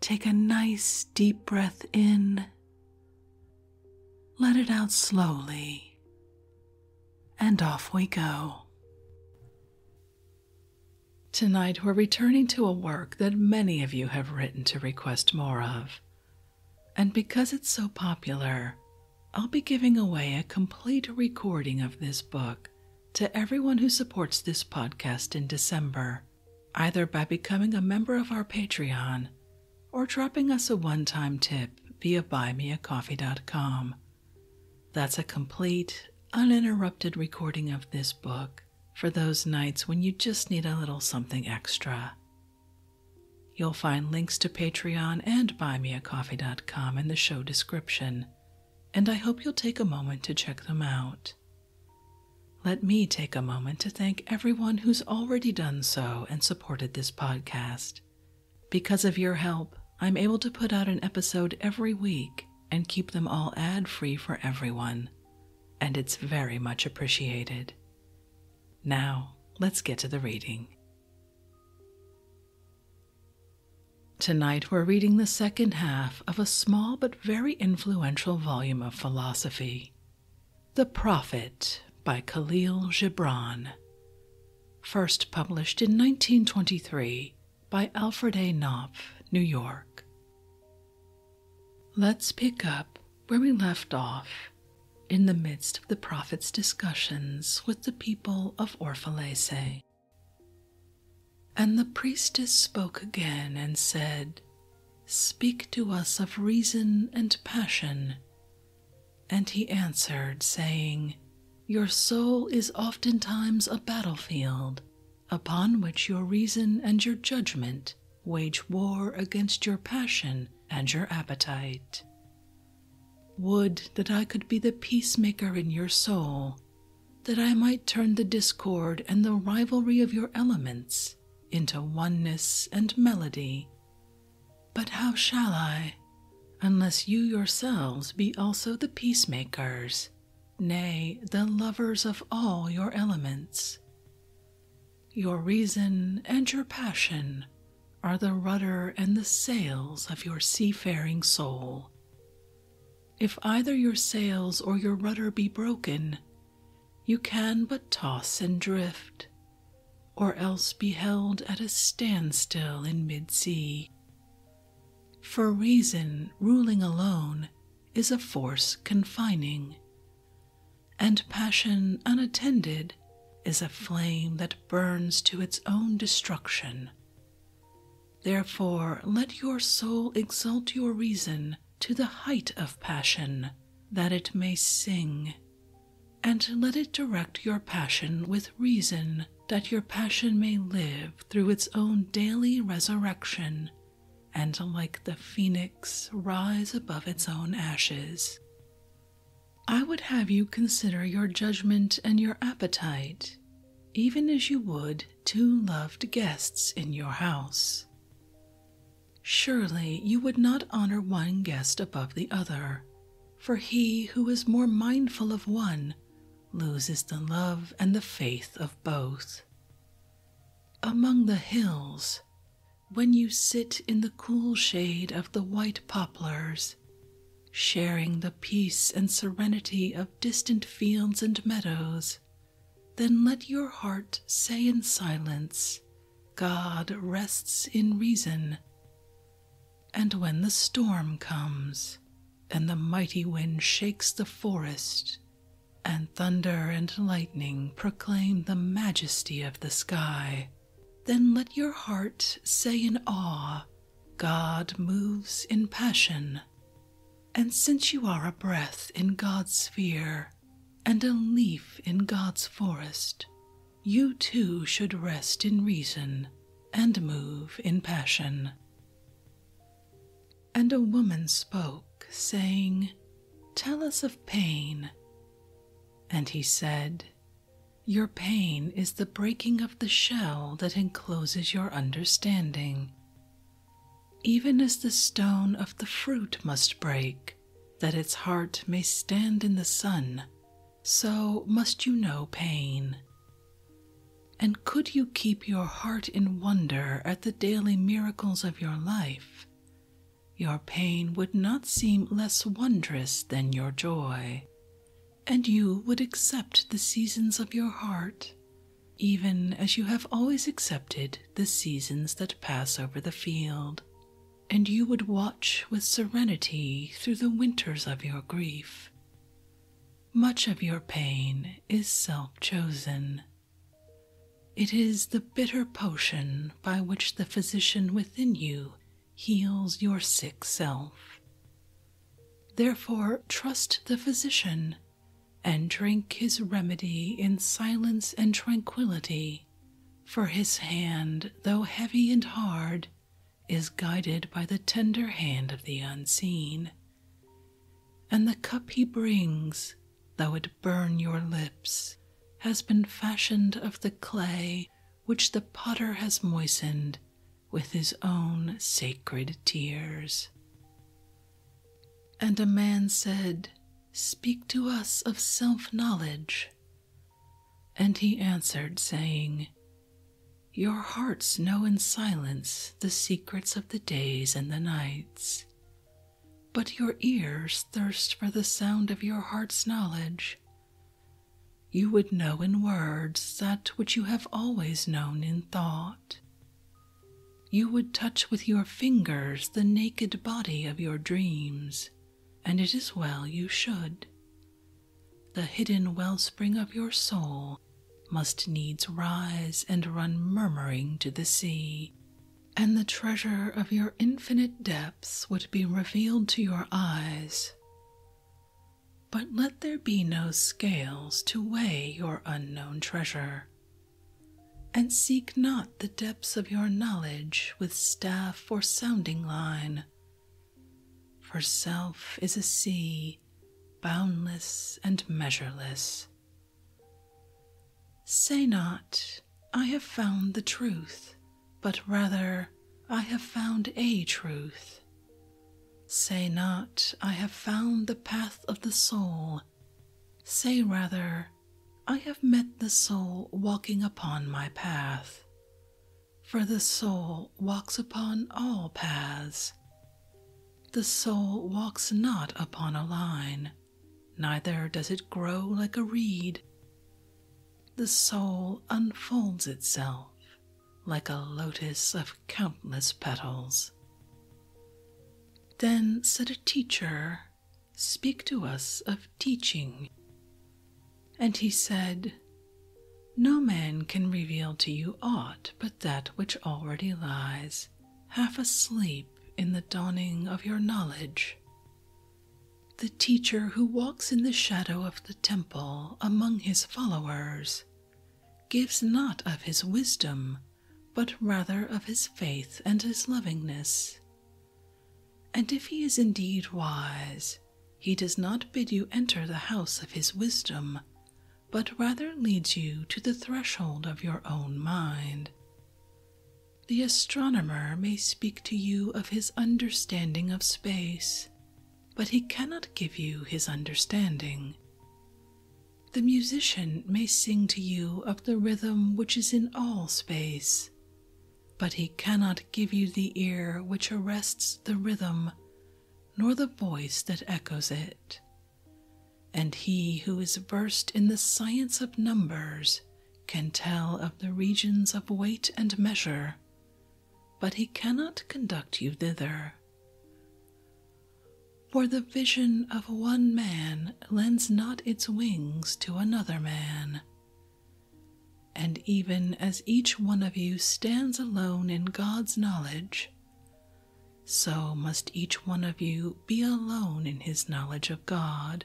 Take a nice deep breath in, let it out slowly, and off we go. Tonight, we're returning to a work that many of you have written to request more of. And because it's so popular, I'll be giving away a complete recording of this book to everyone who supports this podcast in December either by becoming a member of our Patreon or dropping us a one time tip via buymeacoffee.com. That's a complete, uninterrupted recording of this book for those nights when you just need a little something extra. You'll find links to Patreon and buymeacoffee.com in the show description, and I hope you'll take a moment to check them out. Let me take a moment to thank everyone who's already done so and supported this podcast. Because of your help, I'm able to put out an episode every week and keep them all ad free for everyone, and it's very much appreciated. Now, let's get to the reading. Tonight, we're reading the second half of a small but very influential volume of philosophy, The Prophet by Khalil Gibran, first published in 1923 by Alfred A. Knopf, New York. Let's pick up where we left off in the midst of the prophet's discussions with the people of Orphalese. And the priestess spoke again and said, Speak to us of reason and passion. And he answered, saying, Your soul is oftentimes a battlefield upon which your reason and your judgment wage war against your passion and your appetite. Would that I could be the peacemaker in your soul, that I might turn the discord and the rivalry of your elements into oneness and melody. But how shall I, unless you yourselves be also the peacemakers, nay, the lovers of all your elements? Your reason and your passion are the rudder and the sails of your seafaring soul. If either your sails or your rudder be broken, you can but toss and drift, or else be held at a standstill in mid sea. For reason, ruling alone is a force confining, and passion unattended is a flame that burns to its own destruction. Therefore, let your soul exalt your reason to the height of passion, that it may sing. And let it direct your passion with reason, that your passion may live through its own daily resurrection, and like the phoenix rise above its own ashes. I would have you consider your judgment and your appetite, even as you would two loved guests in your house. Surely you would not honor one guest above the other, for he who is more mindful of one loses the love and the faith of both. Among the hills, when you sit in the cool shade of the white poplars, sharing the peace and serenity of distant fields and meadows then let your heart say in silence, God rests in reason. And when the storm comes, and the mighty wind shakes the forest, and thunder and lightning proclaim the majesty of the sky, then let your heart say in awe, God moves in passion. And since you are a breath in God's sphere, and a leaf in God's forest, you too should rest in reason and move in passion. And a woman spoke, saying, Tell us of pain. And he said, Your pain is the breaking of the shell that encloses your understanding even as the stone of the fruit must break, that its heart may stand in the sun, so must you know pain. And could you keep your heart in wonder at the daily miracles of your life, your pain would not seem less wondrous than your joy, and you would accept the seasons of your heart even as you have always accepted the seasons that pass over the field, and you would watch with serenity through the winters of your grief. Much of your pain is self chosen. It is the bitter potion by which the physician within you heals your sick self. Therefore, trust the physician and drink his remedy in silence and tranquillity, for his hand, though heavy and hard, is guided by the tender hand of the unseen. And the cup he brings, though it burn your lips, has been fashioned of the clay which the potter has moistened with his own sacred tears. And a man said, Speak to us of self knowledge. And he answered, saying, Your hearts know in silence the secrets of the days and the nights, but your ears thirst for the sound of your heart's knowledge. You would know in words that which you have always known in thought, you would touch with your fingers the naked body of your dreams, and it is well you should. The hidden wellspring of your soul must needs rise and run murmuring to the sea, and the treasure of your infinite depths would be revealed to your eyes. But let there be no scales to weigh your unknown treasure, and seek not the depths of your knowledge with staff or sounding line. For self is a sea, boundless and measureless. Say not, I have found the truth, but rather, I have found a truth. Say not, I have found the path of the soul, Say rather, I have met the soul walking upon my path, for the soul walks upon all paths. The soul walks not upon a line, neither does it grow like a reed. The soul unfolds itself like a lotus of countless petals. Then said a teacher, Speak to us of teaching. And he said, No man can reveal to you aught but that which already lies half asleep in the dawning of your knowledge. The teacher who walks in the shadow of the temple among his followers gives not of his wisdom but rather of his faith and his lovingness. And if he is indeed wise, he does not bid you enter the house of his wisdom, but rather leads you to the threshold of your own mind. The astronomer may speak to you of his understanding of space, but he cannot give you his understanding. The musician may sing to you of the rhythm which is in all space, but he cannot give you the ear which arrests the rhythm, nor the voice that echoes it. And he who is versed in the science of numbers can tell of the regions of weight and measure, but he cannot conduct you thither. For the vision of one man lends not its wings to another man. And even as each one of you stands alone in God's knowledge, so must each one of you be alone in his knowledge of God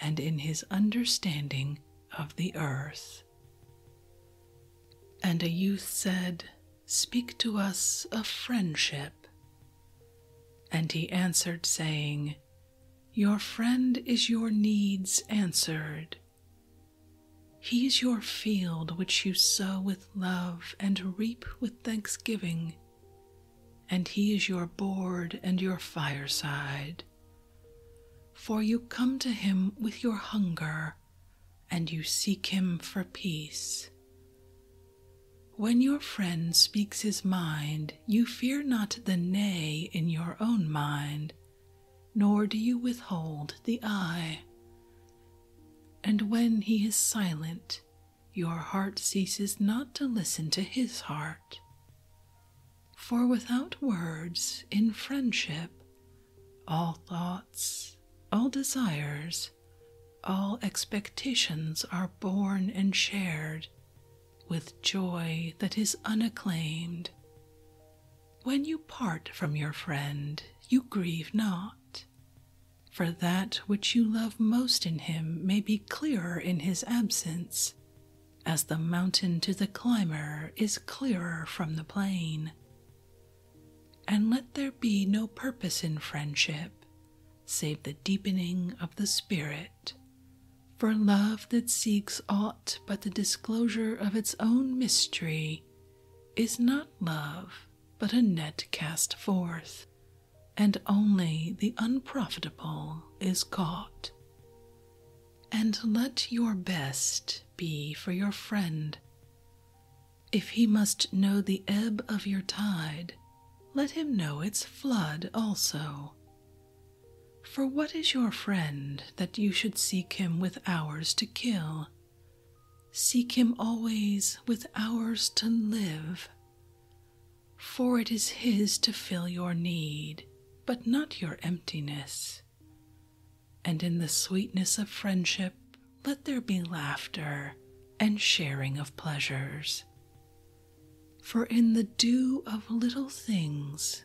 and in his understanding of the earth. And a youth said, Speak to us of friendship and he answered, saying, Your friend is your needs answered. He is your field which you sow with love and reap with thanksgiving, and he is your board and your fireside. For you come to him with your hunger, and you seek him for peace, when your friend speaks his mind, you fear not the nay in your own mind, nor do you withhold the I. And when he is silent, your heart ceases not to listen to his heart. For without words, in friendship, all thoughts, all desires, all expectations are born and shared with joy that is unacclaimed. When you part from your friend, you grieve not, for that which you love most in him may be clearer in his absence, as the mountain to the climber is clearer from the plain. And let there be no purpose in friendship save the deepening of the spirit. For love that seeks aught but the disclosure of its own mystery is not love, but a net cast forth, and only the unprofitable is caught. And let your best be for your friend. If he must know the ebb of your tide, let him know its flood also. For what is your friend that you should seek him with hours to kill? Seek him always with hours to live. For it is his to fill your need, but not your emptiness. And in the sweetness of friendship, let there be laughter and sharing of pleasures. For in the dew of little things,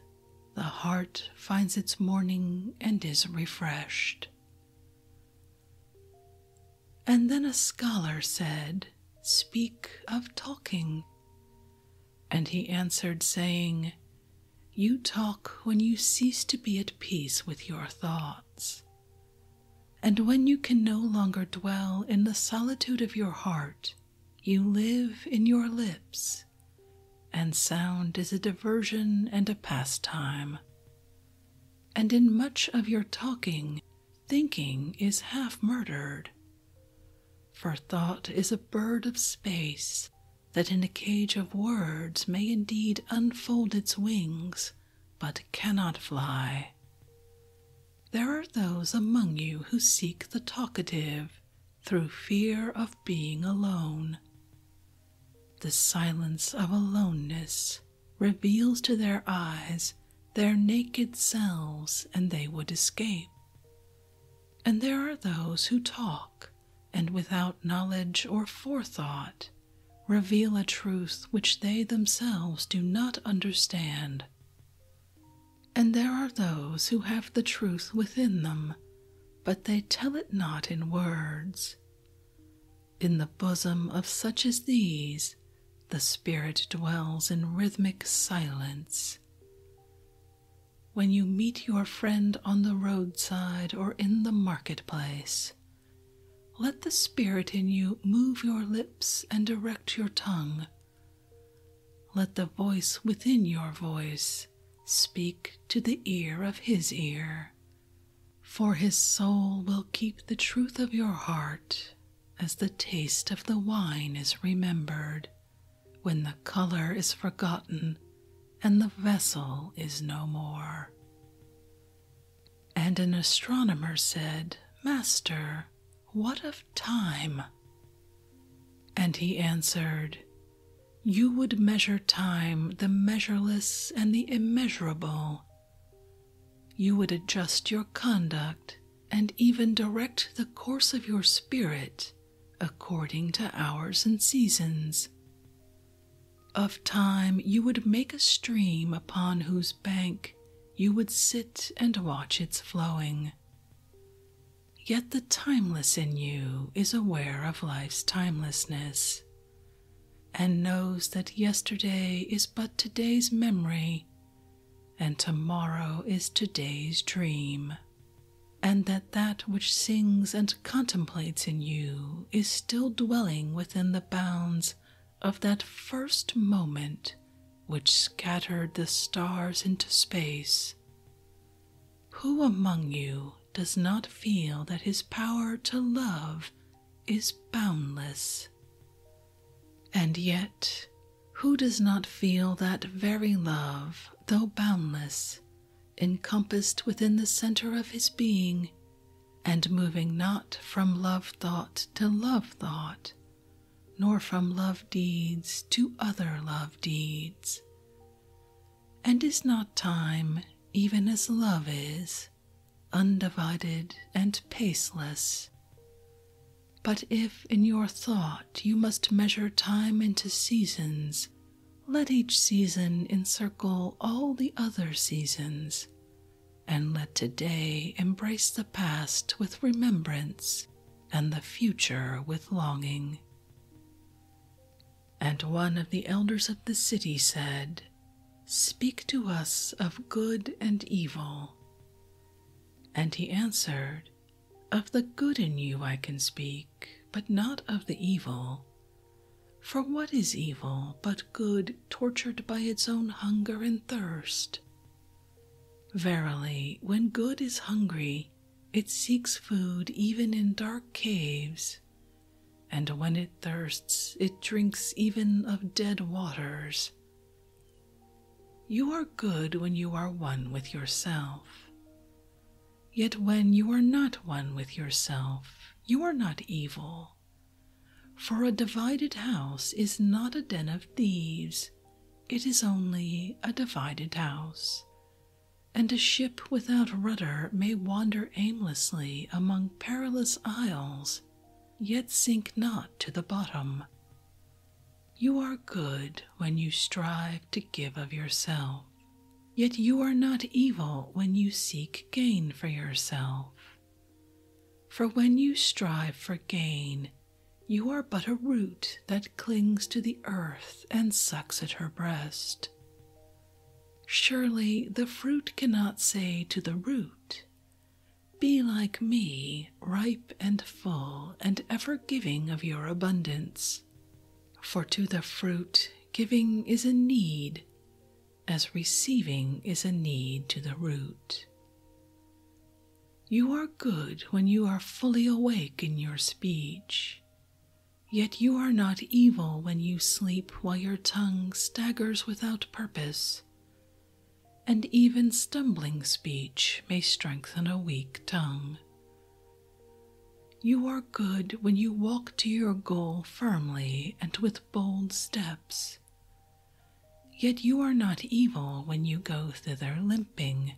the heart finds its morning and is refreshed. And then a scholar said, Speak of talking. And he answered, saying, You talk when you cease to be at peace with your thoughts, and when you can no longer dwell in the solitude of your heart, you live in your lips, and sound is a diversion and a pastime. And in much of your talking, thinking is half murdered. For thought is a bird of space that in a cage of words may indeed unfold its wings but cannot fly. There are those among you who seek the talkative through fear of being alone. The silence of aloneness reveals to their eyes their naked selves, and they would escape. And there are those who talk, and without knowledge or forethought, reveal a truth which they themselves do not understand. And there are those who have the truth within them, but they tell it not in words. In the bosom of such as these, the Spirit dwells in rhythmic silence. When you meet your friend on the roadside or in the marketplace, let the spirit in you move your lips and direct your tongue. Let the voice within your voice speak to the ear of his ear. For his soul will keep the truth of your heart as the taste of the wine is remembered, when the color is forgotten and the vessel is no more. And an astronomer said, Master, what of time? And he answered, You would measure time, the measureless and the immeasurable. You would adjust your conduct and even direct the course of your spirit according to hours and seasons. Of time you would make a stream upon whose bank you would sit and watch its flowing. Yet the timeless in you is aware of life's timelessness and knows that yesterday is but today's memory and tomorrow is today's dream, and that that which sings and contemplates in you is still dwelling within the bounds of that first moment which scattered the stars into space. Who among you does not feel that his power to love is boundless? And yet, who does not feel that very love, though boundless, encompassed within the center of his being, and moving not from love thought to love thought, nor from love deeds to other love deeds. And is not time, even as love is, undivided and paceless? But if in your thought you must measure time into seasons, let each season encircle all the other seasons, and let today embrace the past with remembrance and the future with longing. And one of the elders of the city said, Speak to us of good and evil. And he answered, Of the good in you I can speak, but not of the evil. For what is evil but good tortured by its own hunger and thirst. Verily, when good is hungry, it seeks food even in dark caves, and when it thirsts, it drinks even of dead waters. You are good when you are one with yourself. Yet when you are not one with yourself, you are not evil, for a divided house is not a den of thieves, it is only a divided house. And a ship without rudder may wander aimlessly among perilous isles, yet sink not to the bottom. You are good when you strive to give of yourself, yet you are not evil when you seek gain for yourself. For when you strive for gain, you are but a root that clings to the earth and sucks at her breast. Surely the fruit cannot say to the root, Be like me, ripe and full, and ever giving of your abundance. For to the fruit, giving is a need, as receiving is a need to the root. You are good when you are fully awake in your speech, yet you are not evil when you sleep while your tongue staggers without purpose, and even stumbling speech may strengthen a weak tongue. You are good when you walk to your goal firmly and with bold steps, Yet you are not evil when you go thither limping.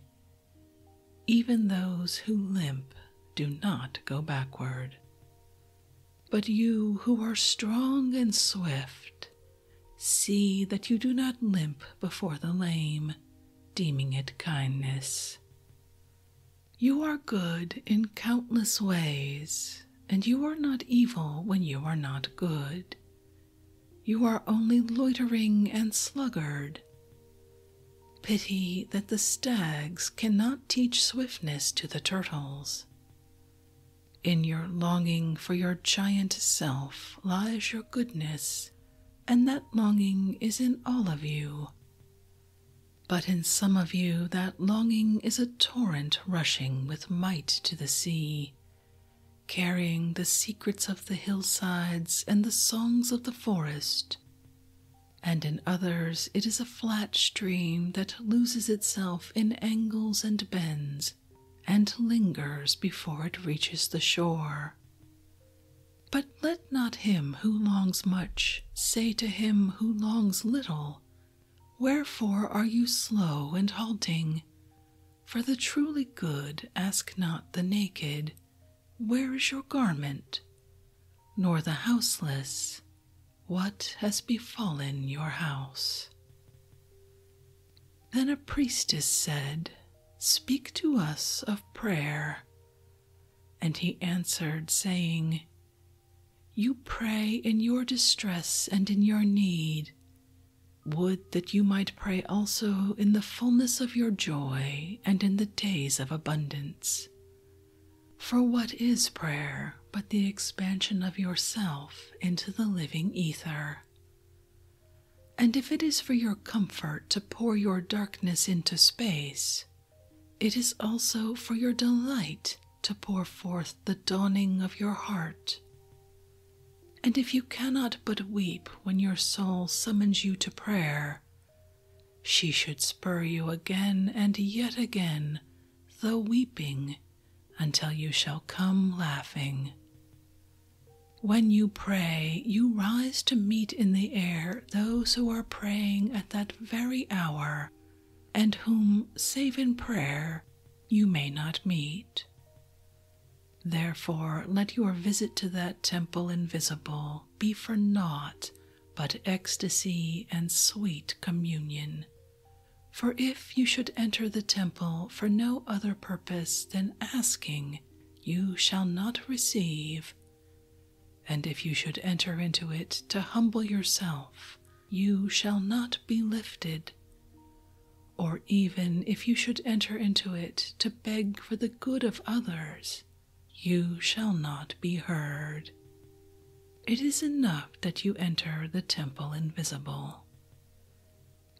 Even those who limp do not go backward. But you who are strong and swift, see that you do not limp before the lame, deeming it kindness. You are good in countless ways, and you are not evil when you are not good. You are only loitering and sluggard. Pity that the stags cannot teach swiftness to the turtles. In your longing for your giant self lies your goodness, and that longing is in all of you. But in some of you, that longing is a torrent rushing with might to the sea, carrying the secrets of the hillsides and the songs of the forest. And in others, it is a flat stream that loses itself in angles and bends and lingers before it reaches the shore. But let not him who longs much say to him who longs little, Wherefore are you slow and halting? For the truly good ask not the naked, Where is your garment? Nor the houseless, What has befallen your house? Then a priestess said, Speak to us of prayer. And he answered, saying, You pray in your distress and in your need, would that you might pray also in the fullness of your joy and in the days of abundance. For what is prayer but the expansion of yourself into the living ether? And if it is for your comfort to pour your darkness into space, it is also for your delight to pour forth the dawning of your heart and if you cannot but weep when your soul summons you to prayer, she should spur you again and yet again, though weeping, until you shall come laughing. When you pray, you rise to meet in the air those who are praying at that very hour, and whom, save in prayer, you may not meet. Therefore, let your visit to that temple invisible be for naught but ecstasy and sweet communion. For if you should enter the temple for no other purpose than asking, you shall not receive. And if you should enter into it to humble yourself you shall not be lifted. Or even if you should enter into it to beg for the good of others, you shall not be heard. It is enough that you enter the temple invisible.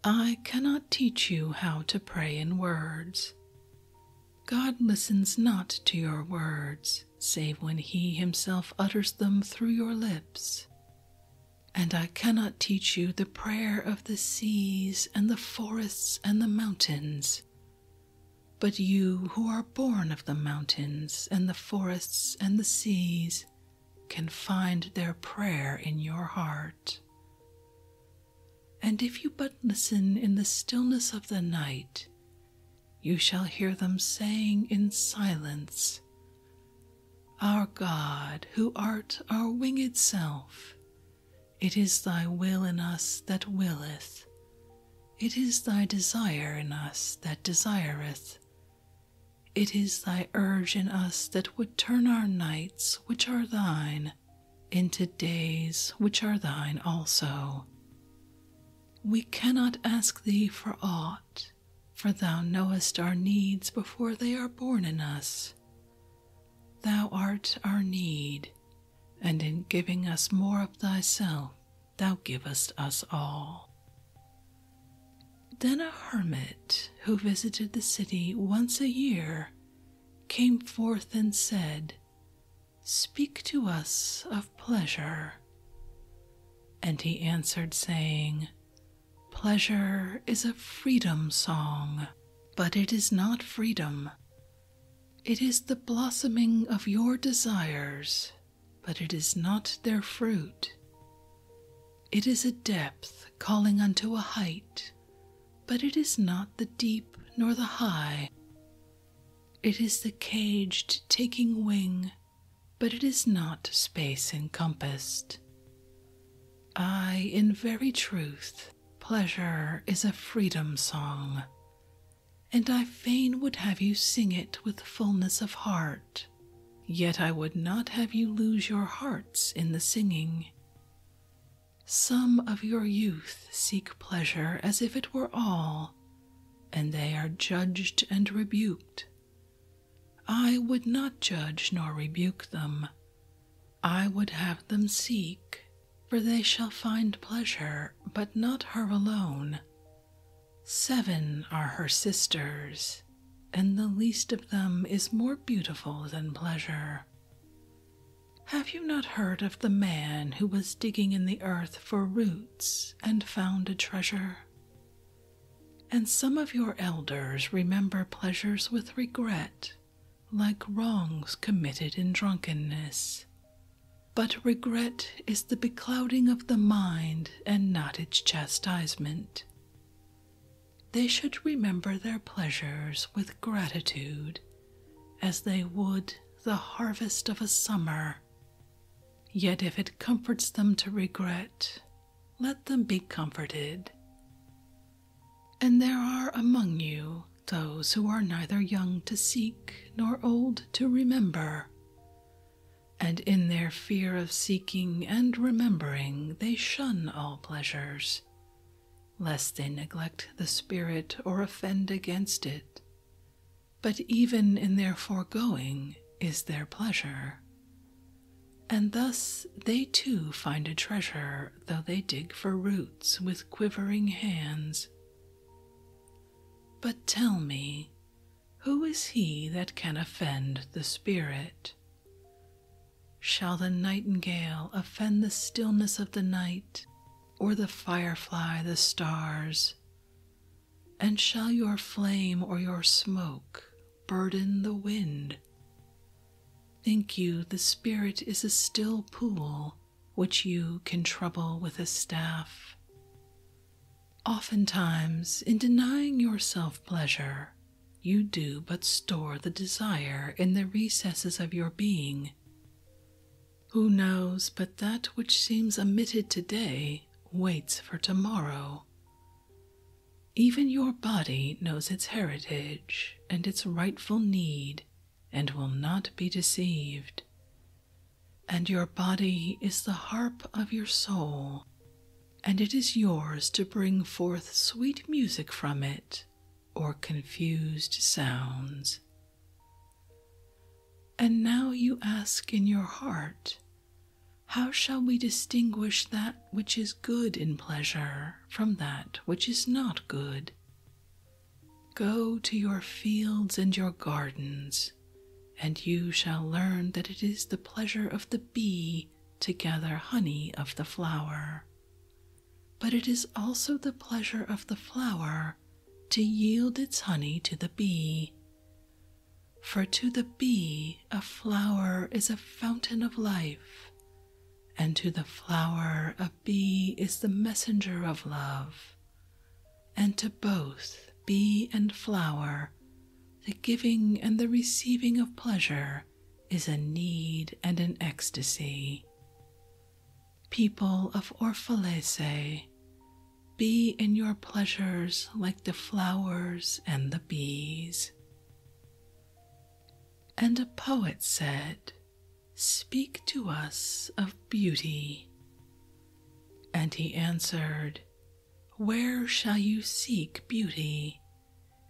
I cannot teach you how to pray in words. God listens not to your words, save when He Himself utters them through your lips and I cannot teach you the prayer of the seas and the forests and the mountains. But you who are born of the mountains and the forests and the seas can find their prayer in your heart. And if you but listen in the stillness of the night, you shall hear them saying in silence, our God, who art our winged self, it is thy will in us that willeth, it is thy desire in us that desireth, it is thy urge in us that would turn our nights, which are thine, into days which are thine also. We cannot ask thee for aught, for thou knowest our needs before they are born in us. Thou art our need, and in giving us more of thyself, thou givest us all. Then a hermit who visited the city once a year came forth and said, Speak to us of pleasure. And he answered, saying, Pleasure is a freedom song, but it is not freedom. It is the blossoming of your desires, but it is not their fruit. It is a depth calling unto a height, but it is not the deep nor the high. It is the caged taking wing but it is not space encompassed. I, in very truth, pleasure is a freedom song, and I fain would have you sing it with fullness of heart, yet I would not have you lose your hearts in the singing. Some of your youth seek pleasure as if it were all, and they are judged and rebuked. I would not judge nor rebuke them. I would have them seek, for they shall find pleasure, but not her alone. Seven are her sisters, and the least of them is more beautiful than pleasure. Have you not heard of the man who was digging in the earth for roots and found a treasure? And some of your elders remember pleasures with regret, like wrongs committed in drunkenness. But regret is the beclouding of the mind and not its chastisement. They should remember their pleasures with gratitude, as they would the harvest of a summer. Yet if it comforts them to regret, let them be comforted. And there are among you those who are neither young to seek nor old to remember. And in their fear of seeking and remembering, they shun all pleasures, lest they neglect the Spirit or offend against it. But even in their foregoing is their pleasure, and thus they too find a treasure, though they dig for roots with quivering hands. But tell me, who is he that can offend the spirit? Shall the nightingale offend the stillness of the night, or the firefly the stars? And shall your flame or your smoke burden the wind. Think you the spirit is a still pool which you can trouble with a staff? Oftentimes, in denying yourself pleasure, you do but store the desire in the recesses of your being. Who knows but that which seems omitted today waits for tomorrow? Even your body knows its heritage and its rightful need and will not be deceived. And your body is the harp of your soul, and it is yours to bring forth sweet music from it or confused sounds. And now you ask in your heart how shall we distinguish that which is good in pleasure from that which is not good? Go to your fields and your gardens, and you shall learn that it is the pleasure of the bee to gather honey of the flower. But it is also the pleasure of the flower to yield its honey to the bee. For to the bee a flower is a fountain of life, and to the flower a bee is the messenger of love, and to both bee and flower the giving and the receiving of pleasure is a need and an ecstasy. People of Orphalese, be in your pleasures like the flowers and the bees. And a poet said, Speak to us of beauty. And he answered, Where shall you seek beauty?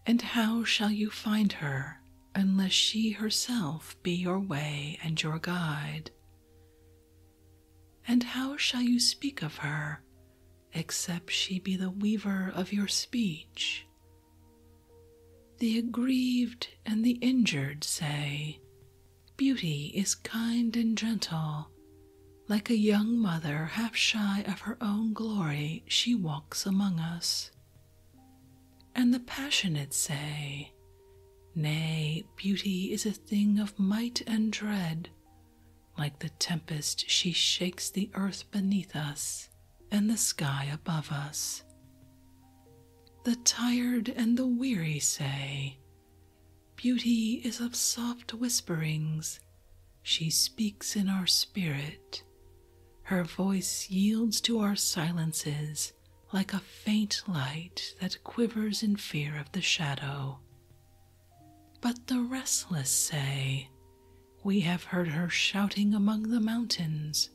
And how shall you find her unless she herself be your way and your guide? And how shall you speak of her except she be the weaver of your speech. The aggrieved and the injured say, Beauty is kind and gentle. Like a young mother, half shy of her own glory, she walks among us. And the passionate say, Nay, beauty is a thing of might and dread, like the tempest, she shakes the earth beneath us and the sky above us. The tired and the weary say, Beauty is of soft whisperings. She speaks in our spirit. Her voice yields to our silences like a faint light that quivers in fear of the shadow. But the restless say, We have heard her shouting among the mountains,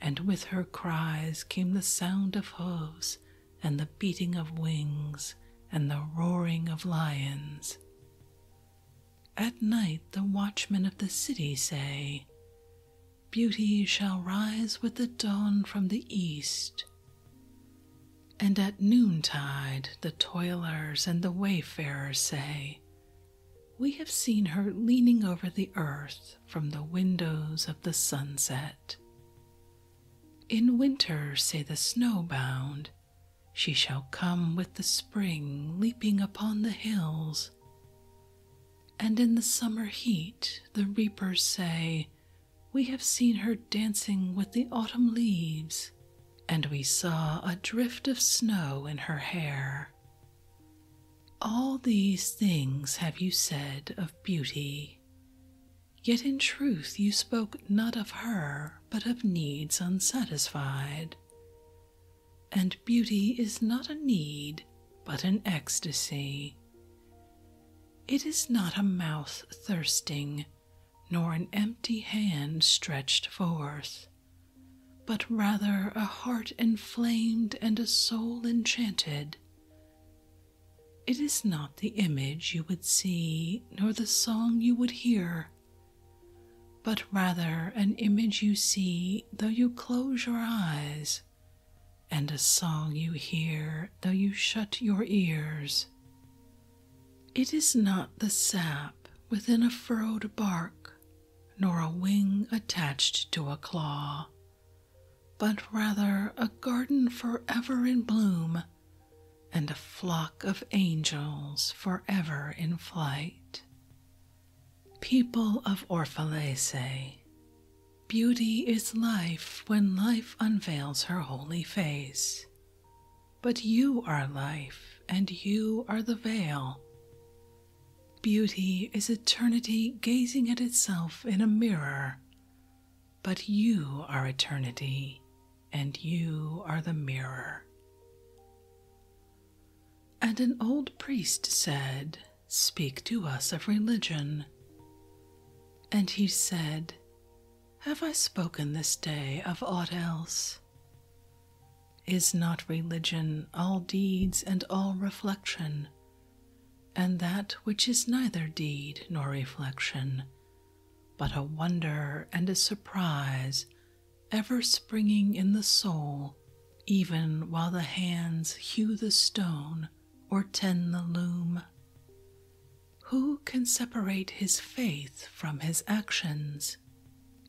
and with her cries came the sound of hoofs, and the beating of wings, and the roaring of lions. At night, the watchmen of the city say, Beauty shall rise with the dawn from the east. And at noontide, the toilers and the wayfarers say, We have seen her leaning over the earth from the windows of the sunset. In winter, say the snowbound, she shall come with the spring leaping upon the hills. And in the summer heat, the reapers say, We have seen her dancing with the autumn leaves and we saw a drift of snow in her hair. All these things have you said of beauty, yet in truth you spoke not of her, but of needs unsatisfied. And beauty is not a need, but an ecstasy. It is not a mouth thirsting, nor an empty hand stretched forth, but rather a heart inflamed and a soul enchanted. It is not the image you would see, nor the song you would hear, but rather an image you see though you close your eyes, and a song you hear though you shut your ears. It is not the sap within a furrowed bark, nor a wing attached to a claw, but rather a garden forever in bloom, and a flock of angels forever in flight. People of Orphalese, beauty is life when life unveils her holy face. But you are life, and you are the veil. Beauty is eternity gazing at itself in a mirror, but you are eternity, and you are the mirror. And an old priest said, Speak to us of religion. And he said, Have I spoken this day of aught else? Is not religion all deeds and all reflection, and that which is neither deed nor reflection, but a wonder and a surprise ever springing in the soul, even while the hands hew the stone or tend the loom? Who can separate his faith from his actions,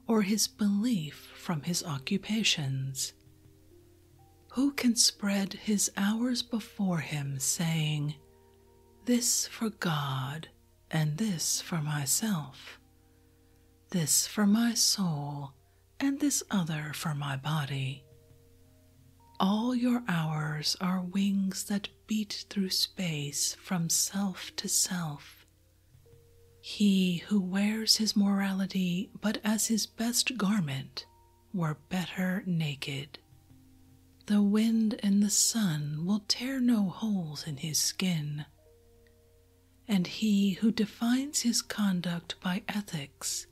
or his belief from his occupations? Who can spread his hours before him, saying, This for God, and this for myself, this for my soul, and this other for my body? All your hours are wings that beat through space from self to self. He who wears his morality but as his best garment were better naked. The wind and the sun will tear no holes in his skin. And he who defines his conduct by ethics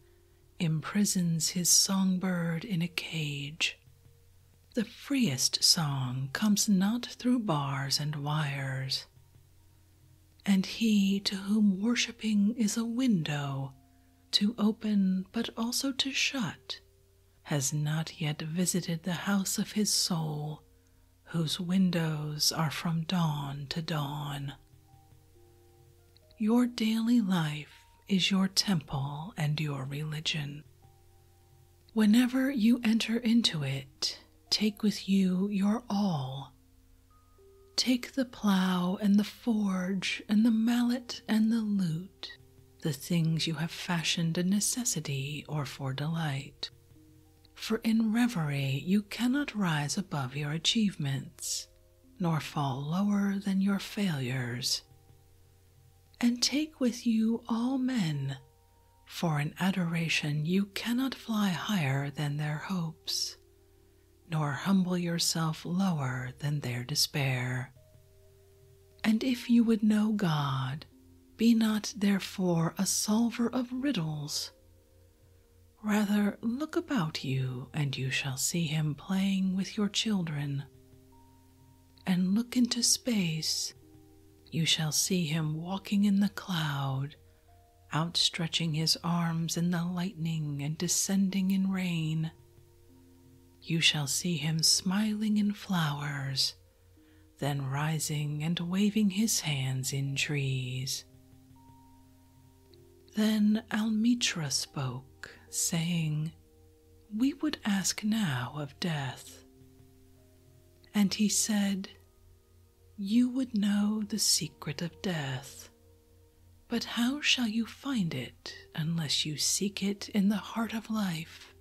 imprisons his songbird in a cage. The freest song comes not through bars and wires, and he to whom worshipping is a window to open but also to shut has not yet visited the house of his soul, whose windows are from dawn to dawn. Your daily life is your temple and your religion. Whenever you enter into it, take with you your all. Take the plough and the forge and the mallet and the lute, the things you have fashioned a necessity or for delight. For in reverie you cannot rise above your achievements, nor fall lower than your failures. And take with you all men for in adoration you cannot fly higher than their hopes, nor humble yourself lower than their despair. And if you would know God, be not therefore a solver of riddles. Rather, look about you, and you shall see him playing with your children and look into space, you shall see him walking in the cloud, outstretching his arms in the lightning and descending in rain. You shall see him smiling in flowers, then rising and waving his hands in trees. Then Almitra spoke, saying, We would ask now of death. And he said, You would know the secret of death, but how shall you find it unless you seek it in the heart of life?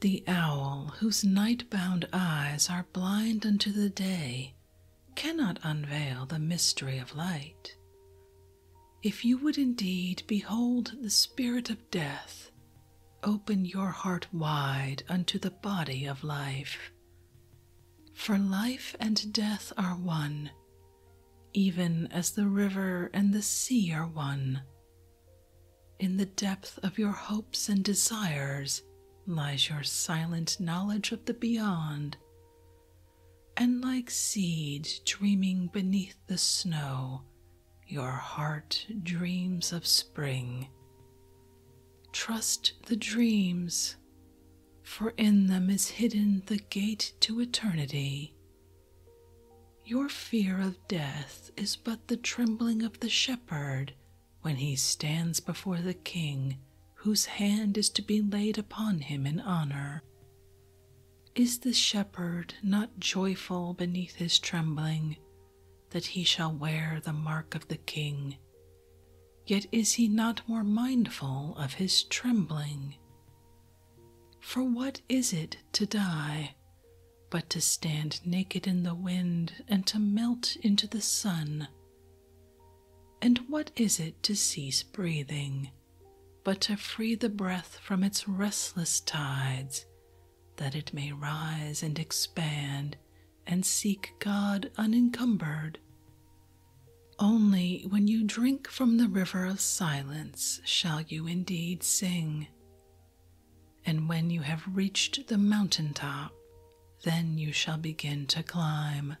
The owl, whose night bound eyes are blind unto the day, cannot unveil the mystery of light. If you would indeed behold the spirit of death, Open your heart wide unto the body of life. For life and death are one, even as the river and the sea are one. In the depth of your hopes and desires lies your silent knowledge of the beyond. And like seed dreaming beneath the snow, your heart dreams of spring. Trust the dreams, for in them is hidden the gate to eternity. Your fear of death is but the trembling of the shepherd when he stands before the king whose hand is to be laid upon him in honor. Is the shepherd not joyful beneath his trembling? that he shall wear the mark of the king. Yet is he not more mindful of his trembling? For what is it to die, but to stand naked in the wind and to melt into the sun? And what is it to cease breathing, but to free the breath from its restless tides that it may rise and expand and seek God unencumbered. Only when you drink from the river of silence shall you indeed sing. And when you have reached the mountain top, then you shall begin to climb.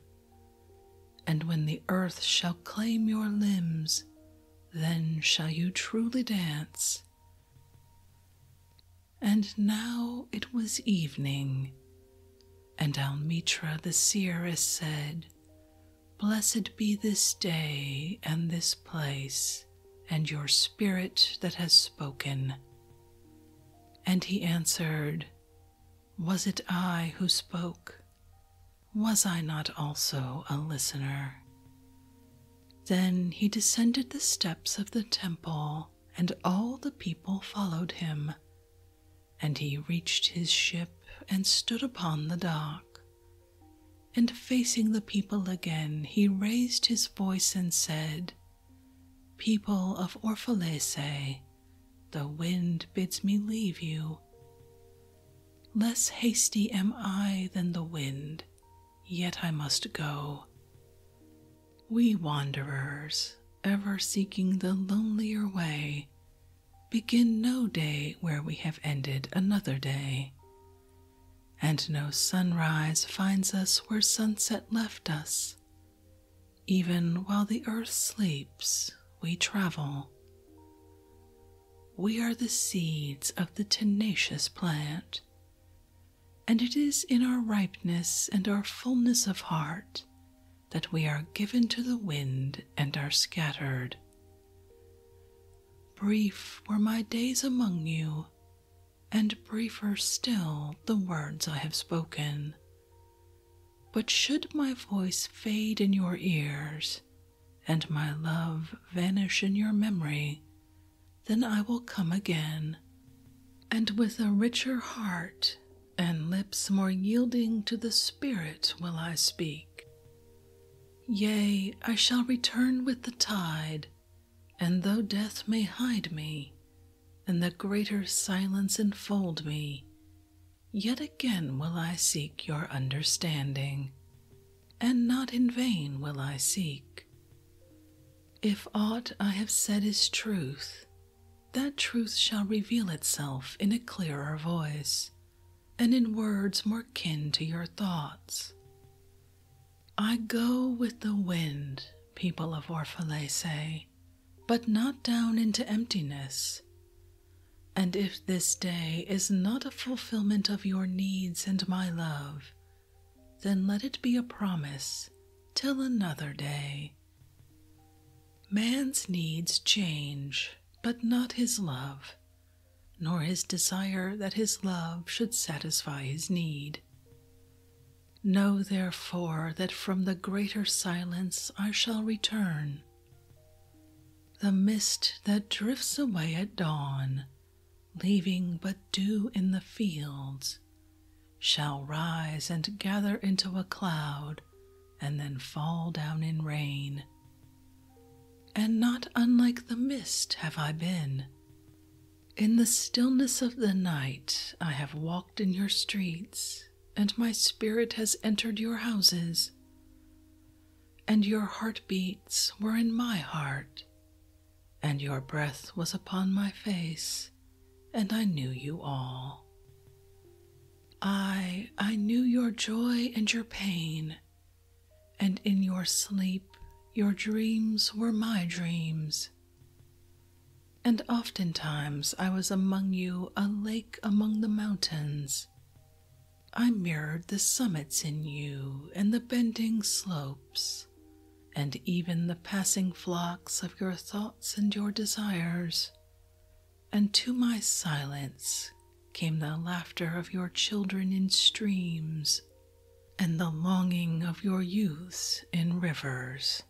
And when the earth shall claim your limbs, then shall you truly dance and now it was evening, and Almitra the seeress said, Blessed be this day and this place, and your spirit that has spoken. And he answered, Was it I who spoke? Was I not also a listener? Then he descended the steps of the temple, and all the people followed him. And he reached his ship and stood upon the dock. And facing the people again, he raised his voice and said, People of Orphalese, the wind bids me leave you. Less hasty am I than the wind, yet I must go. We wanderers, ever seeking the lonelier way, begin no day where we have ended another day, and no sunrise finds us where sunset left us. Even while the earth sleeps, we travel. We are the seeds of the tenacious plant, and it is in our ripeness and our fullness of heart that we are given to the wind and are scattered. Brief were my days among you, and briefer still the words I have spoken. But should my voice fade in your ears, and my love vanish in your memory, then I will come again, and with a richer heart and lips more yielding to the Spirit will I speak. Yea, I shall return with the tide, and though death may hide me, and the greater silence enfold me, yet again will I seek your understanding, and not in vain will I seek. If aught I have said is truth, that truth shall reveal itself in a clearer voice and in words more kin to your thoughts. I go with the wind, people of Orphalese, but not down into emptiness. And if this day is not a fulfillment of your needs and my love, then let it be a promise till another day. Man's needs change, but not his love, nor his desire that his love should satisfy his need. Know therefore that from the greater silence I shall return. The mist that drifts away at dawn leaving but dew in the fields, shall rise and gather into a cloud and then fall down in rain. And not unlike the mist have I been. In the stillness of the night, I have walked in your streets, and my spirit has entered your houses. And your heartbeats were in my heart, and your breath was upon my face, and I knew you all. I, I knew your joy and your pain, and in your sleep your dreams were my dreams. And oftentimes I was among you, a lake among the mountains. I mirrored the summits in you and the bending slope and even the passing flocks of your thoughts and your desires. And to my silence came the laughter of your children in streams, and the longing of your youths in rivers.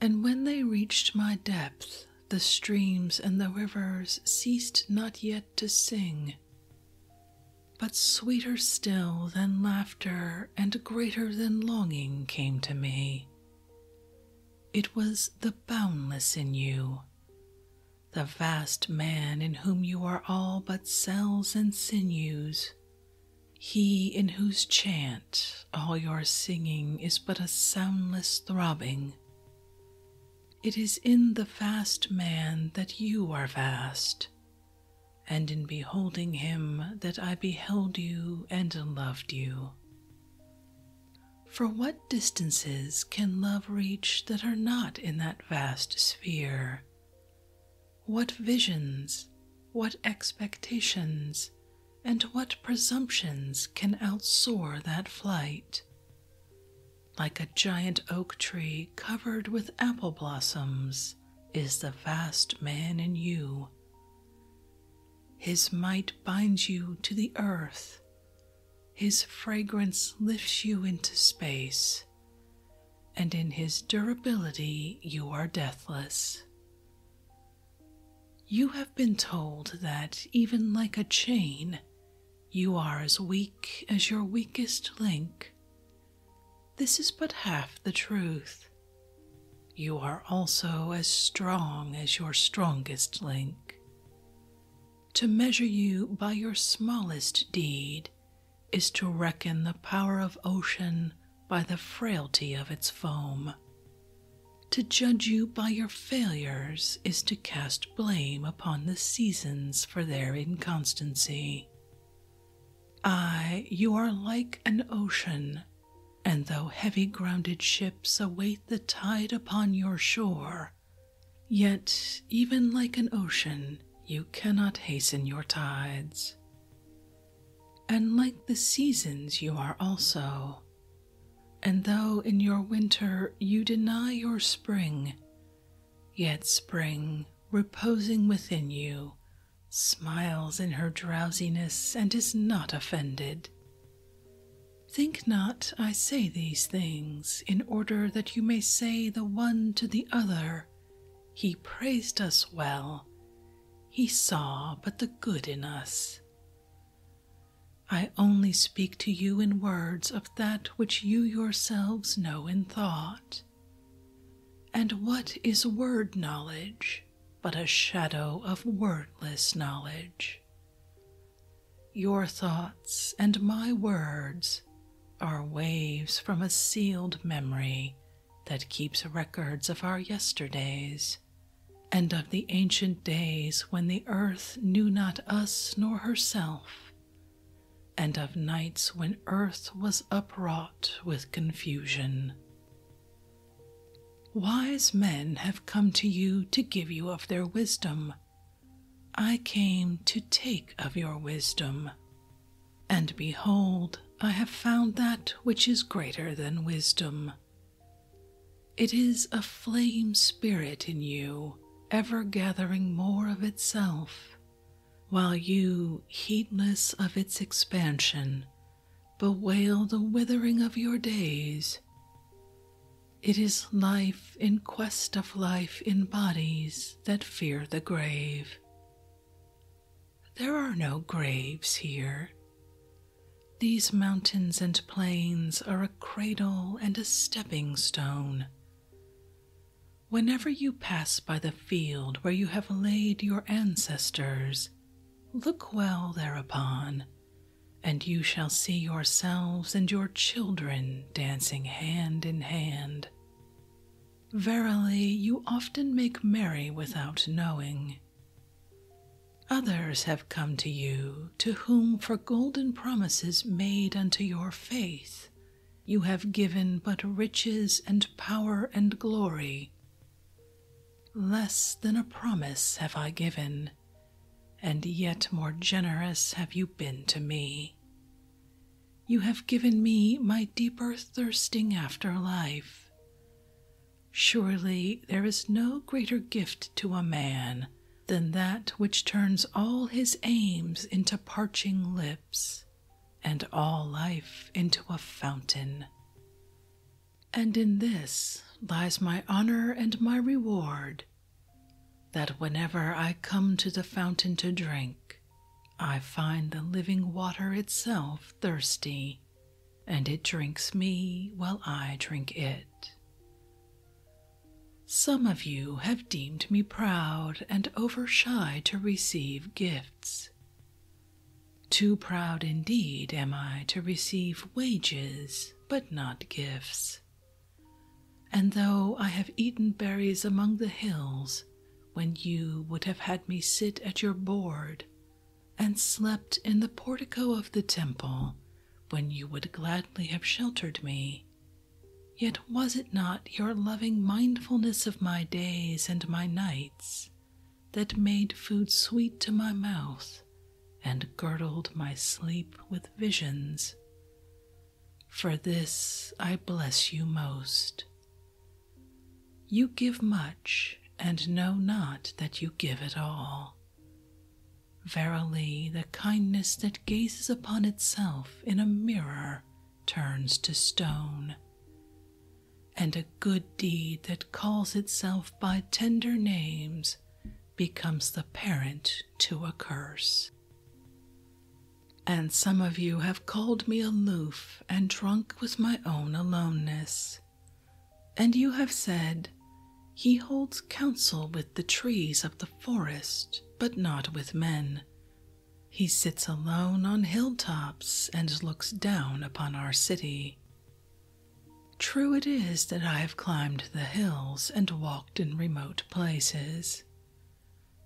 And when they reached my depth, the streams and the rivers ceased not yet to sing, but sweeter still than laughter and greater than longing came to me. It was the boundless in you, the vast man in whom you are all but cells and sinews, he in whose chant all your singing is but a soundless throbbing, it is in the vast man that you are vast, and in beholding him that I beheld you and loved you. For what distances can love reach that are not in that vast sphere? What visions, what expectations, and what presumptions can outsoar that flight? Like a giant oak tree covered with apple blossoms, is the vast man in you. His might binds you to the earth, his fragrance lifts you into space, and in his durability you are deathless. You have been told that, even like a chain, you are as weak as your weakest link. This is but half the truth. You are also as strong as your strongest link. To measure you by your smallest deed is to reckon the power of ocean by the frailty of its foam. To judge you by your failures is to cast cast blame upon the seasons for their inconstancy. Ay, you are like an ocean, and though heavy grounded ships await the tide upon your shore, yet, even like an ocean, you cannot hasten your tides. And like the seasons, you are also. And though in your winter you deny your spring, Yet spring, reposing within you, smiles in her drowsiness and is not offended. Think not I say these things in order that you may say the one to the other, He praised us well, He saw but the good in us. I only speak to you in words of that which you yourselves know in thought. And what is word knowledge but a shadow of wordless knowledge? Your thoughts and my words are waves from a sealed memory that keeps records of our yesterdays and of the ancient days when the earth knew not us nor herself, and of nights when earth was upwrought with confusion. Wise men have come to you to give you of their wisdom. I came to take of your wisdom. And behold, I have found that which is greater than wisdom. It is a flame spirit in you, ever gathering more of itself, while you, heedless of its expansion, bewail the withering of your days. It is life in quest of life in bodies that fear the grave. There are no graves here. These mountains and plains are a cradle and a stepping stone, Whenever you pass by the field where you have laid your ancestors, look well thereupon, and you shall see yourselves and your children dancing hand in hand. Verily, you often make merry without knowing. Others have come to you, to whom for golden promises made unto your faith you have given but riches and power and glory. Less than a promise have I given, and yet more generous have you been to me. You have given me my deeper thirsting after life. Surely there is no greater gift to a man than that which turns all his aims into parching lips and all life into a fountain. And in this lies my honor and my reward that whenever I come to the fountain to drink, I find the living water itself thirsty, and it drinks me while I drink it. Some of you have deemed me proud and over shy to receive gifts. Too proud indeed am I to receive wages, but not gifts. And though I have eaten berries among the hills, when you would have had me sit at your board, and slept in the portico of the temple, when you would gladly have sheltered me, Yet was it not your loving mindfulness of my days and my nights that made food sweet to my mouth and girdled my sleep with visions? For this I bless you most. You give much and know not that you give it all. Verily, the kindness that gazes upon itself in a mirror turns to stone, and a good deed that calls itself by tender names becomes the parent to a curse. And some of you have called me aloof and drunk with my own aloneness. And you have said, He holds counsel with the trees of the forest, but not with men, he sits alone on hilltops and looks down upon our city. True it is that I have climbed the hills and walked in remote places.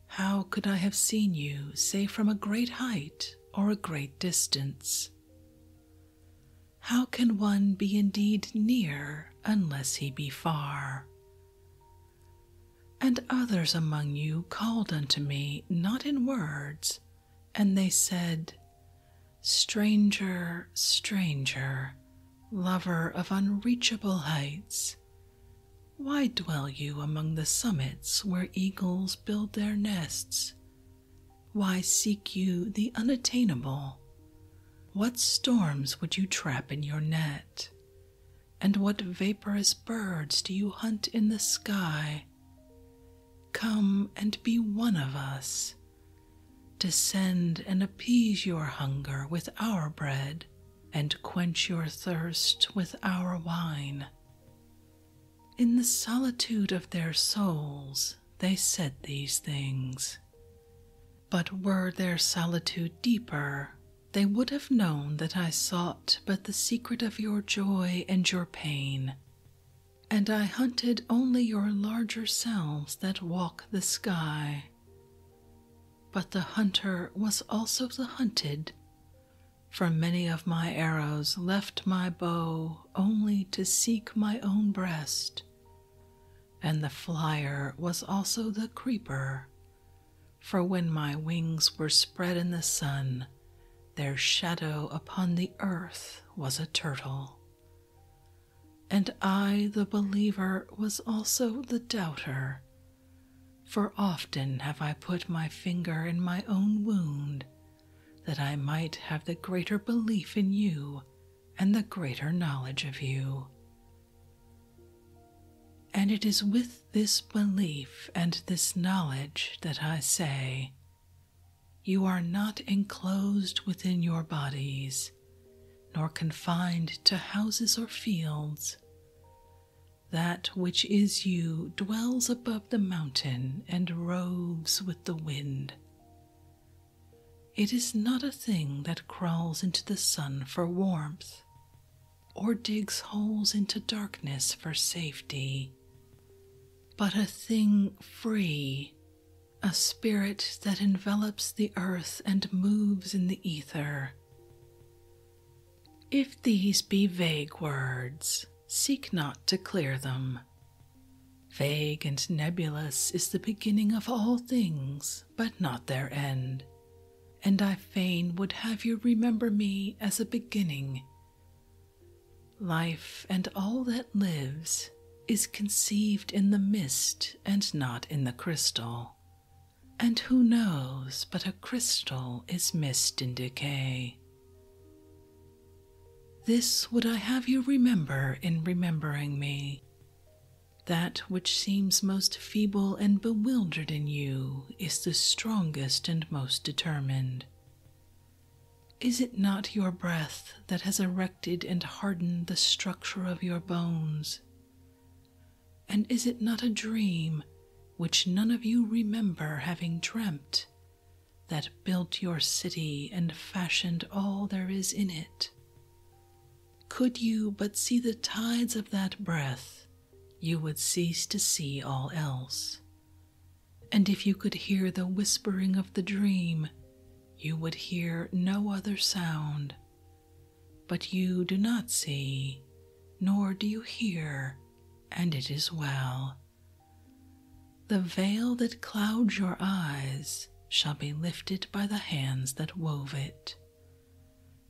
How could I have seen you save from a great height or a great distance? How can one be indeed near unless he be far? And others among you called unto me, not in words, and they said, Stranger, stranger, lover of unreachable heights, why dwell you among the summits where eagles build their nests? Why seek you the unattainable? What storms would you trap in your net? and what vaporous birds do you hunt in the sky? Come and be one of us. Descend and appease your hunger with our bread, and quench your thirst with our wine. In the solitude of their souls, they said these things. But were their solitude deeper, they would have known that I sought but the secret of your joy and your pain, and I hunted only your larger selves that walk the sky. But the hunter was also the hunted, for many of my arrows left my bow only to seek my own breast, and the flyer was also the creeper for when my wings were spread in the sun, their shadow upon the earth was a turtle. And I, the believer, was also the doubter. For often have I put my finger in my own wound, that I might have the greater belief in you and the greater knowledge of you. And it is with this belief and this knowledge that I say, You are not enclosed within your bodies, nor confined to houses or fields. That which is you dwells above the mountain and roves with the wind. It is not a thing that crawls into the sun for warmth, or digs holes into darkness for safety. But a thing free, a spirit that envelops the earth and moves in the ether. If these be vague words, seek not to clear them. Vague and nebulous is the beginning of all things but not their end, and I fain would have you remember me as a beginning. Life and all that lives is conceived in the mist and not in the crystal, and who knows but a crystal is mist in decay. This would I have you remember in remembering me, that which seems most feeble and bewildered in you is the strongest and most determined. Is it not your breath that has erected and hardened the structure of your bones? And is it not a dream which none of you remember having dreamt that built your city and fashioned all there is in it? Could you but see the tides of that breath you would cease to see all else. And if you could hear the whispering of the dream, you would hear no other sound. But you do not see, nor do you hear, and it is well. The veil that clouds your eyes shall be lifted by the hands that wove it,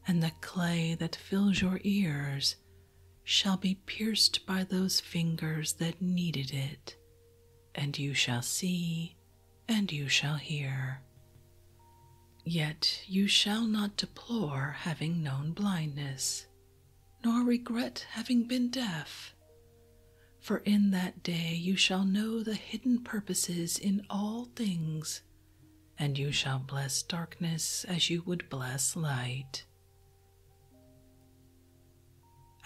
and the clay that fills your ears shall be pierced by those fingers that kneaded it, and you shall see and you shall hear. Yet you shall not deplore having known blindness, nor regret having been deaf. For in that day you shall know the hidden purposes in all things, and you shall bless darkness as you would bless light.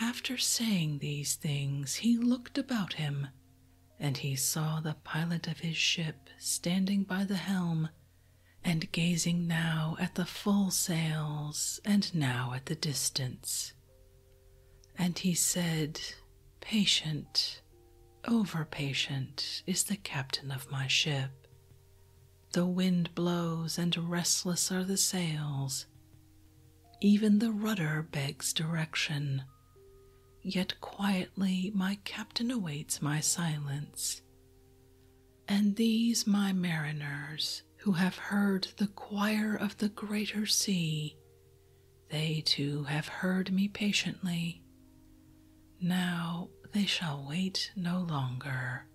After saying these things, he looked about him, and he saw the pilot of his ship standing by the helm and gazing now at the full sails and now at the distance. And he said, Patient, Overpatient is the captain of my ship. The wind blows, and restless are the sails. Even the rudder begs direction. Yet quietly my captain awaits my silence. And these my mariners, who have heard the choir of the greater sea, they too have heard me patiently. Now they shall wait no longer.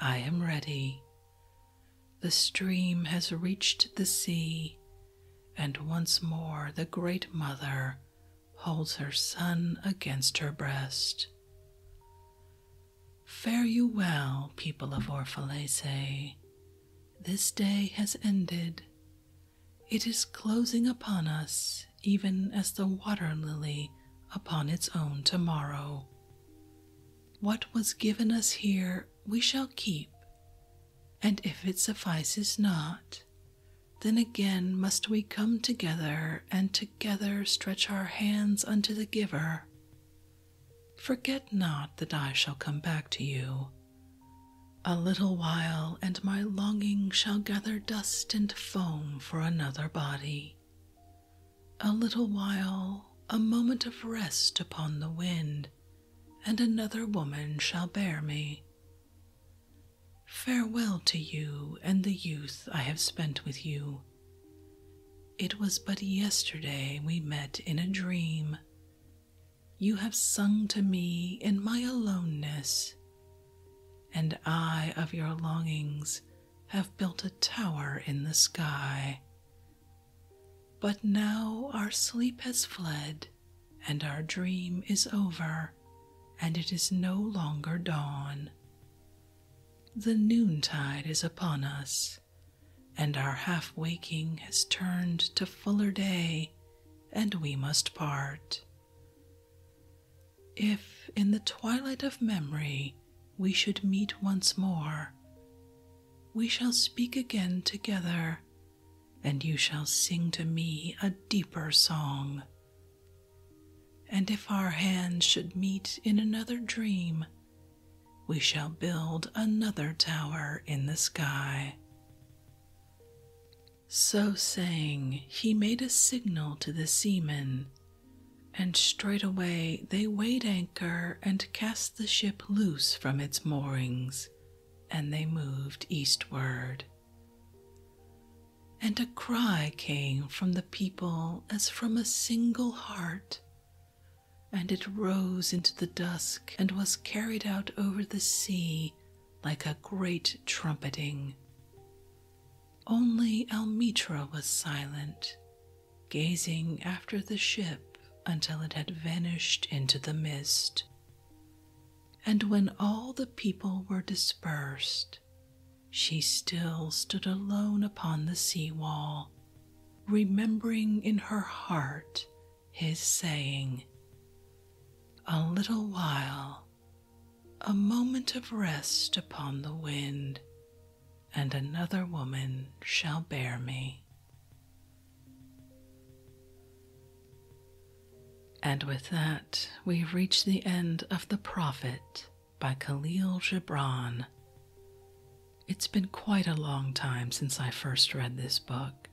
I am ready. The stream has reached the sea, and once more the Great Mother holds her son against her breast. Fare you well, people of Orphalese. This day has ended, it is closing upon us, even as the water lily upon its own tomorrow. What was given us here we shall keep, and if it suffices not, then again must we come together and together stretch our hands unto the giver. Forget not that I shall come back to you, a little while, and my longing shall gather dust and foam for another body. A little while, a moment of rest upon the wind, and another woman shall bear me. Farewell to you and the youth I have spent with you. It was but yesterday we met in a dream. You have sung to me in my aloneness and I of your longings have built a tower in the sky. But now our sleep has fled, and our dream is over, and it is no longer dawn. The noontide is upon us, and our half waking has turned to fuller day, and we must part. If in the twilight of memory we should meet once more, we shall speak again together, and you shall sing to me a deeper song. And if our hands should meet in another dream, we shall build another tower in the sky. So saying, he made a signal to the seamen, and straightway they weighed anchor and cast the ship loose from its moorings, and they moved eastward. And a cry came from the people as from a single heart, and it rose into the dusk and was carried out over the sea like a great trumpeting. Only Almitra was silent, gazing after the ship until it had vanished into the mist. And when all the people were dispersed, she still stood alone upon the sea wall, remembering in her heart his saying, A little while, a moment of rest upon the wind, and another woman shall bear me. And with that, we reach the end of The Prophet by Khalil Gibran. It's been quite a long time since I first read this book,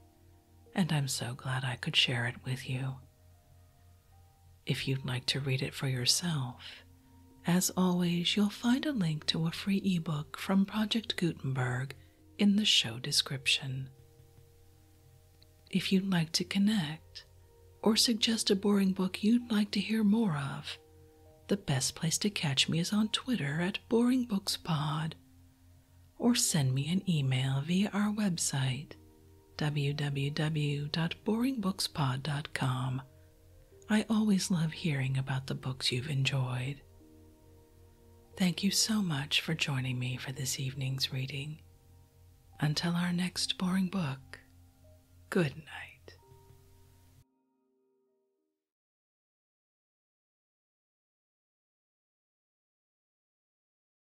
and I'm so glad I could share it with you. If you'd like to read it for yourself, as always, you'll find a link to a free ebook from Project Gutenberg in the show description. If you'd like to connect or suggest a boring book you'd like to hear more of, the best place to catch me is on Twitter at BoringBooksPod or send me an email via our website www.boringbookspod.com. I always love hearing about the books you've enjoyed. Thank you so much for joining me for this evening's reading. Until our next boring book, good night.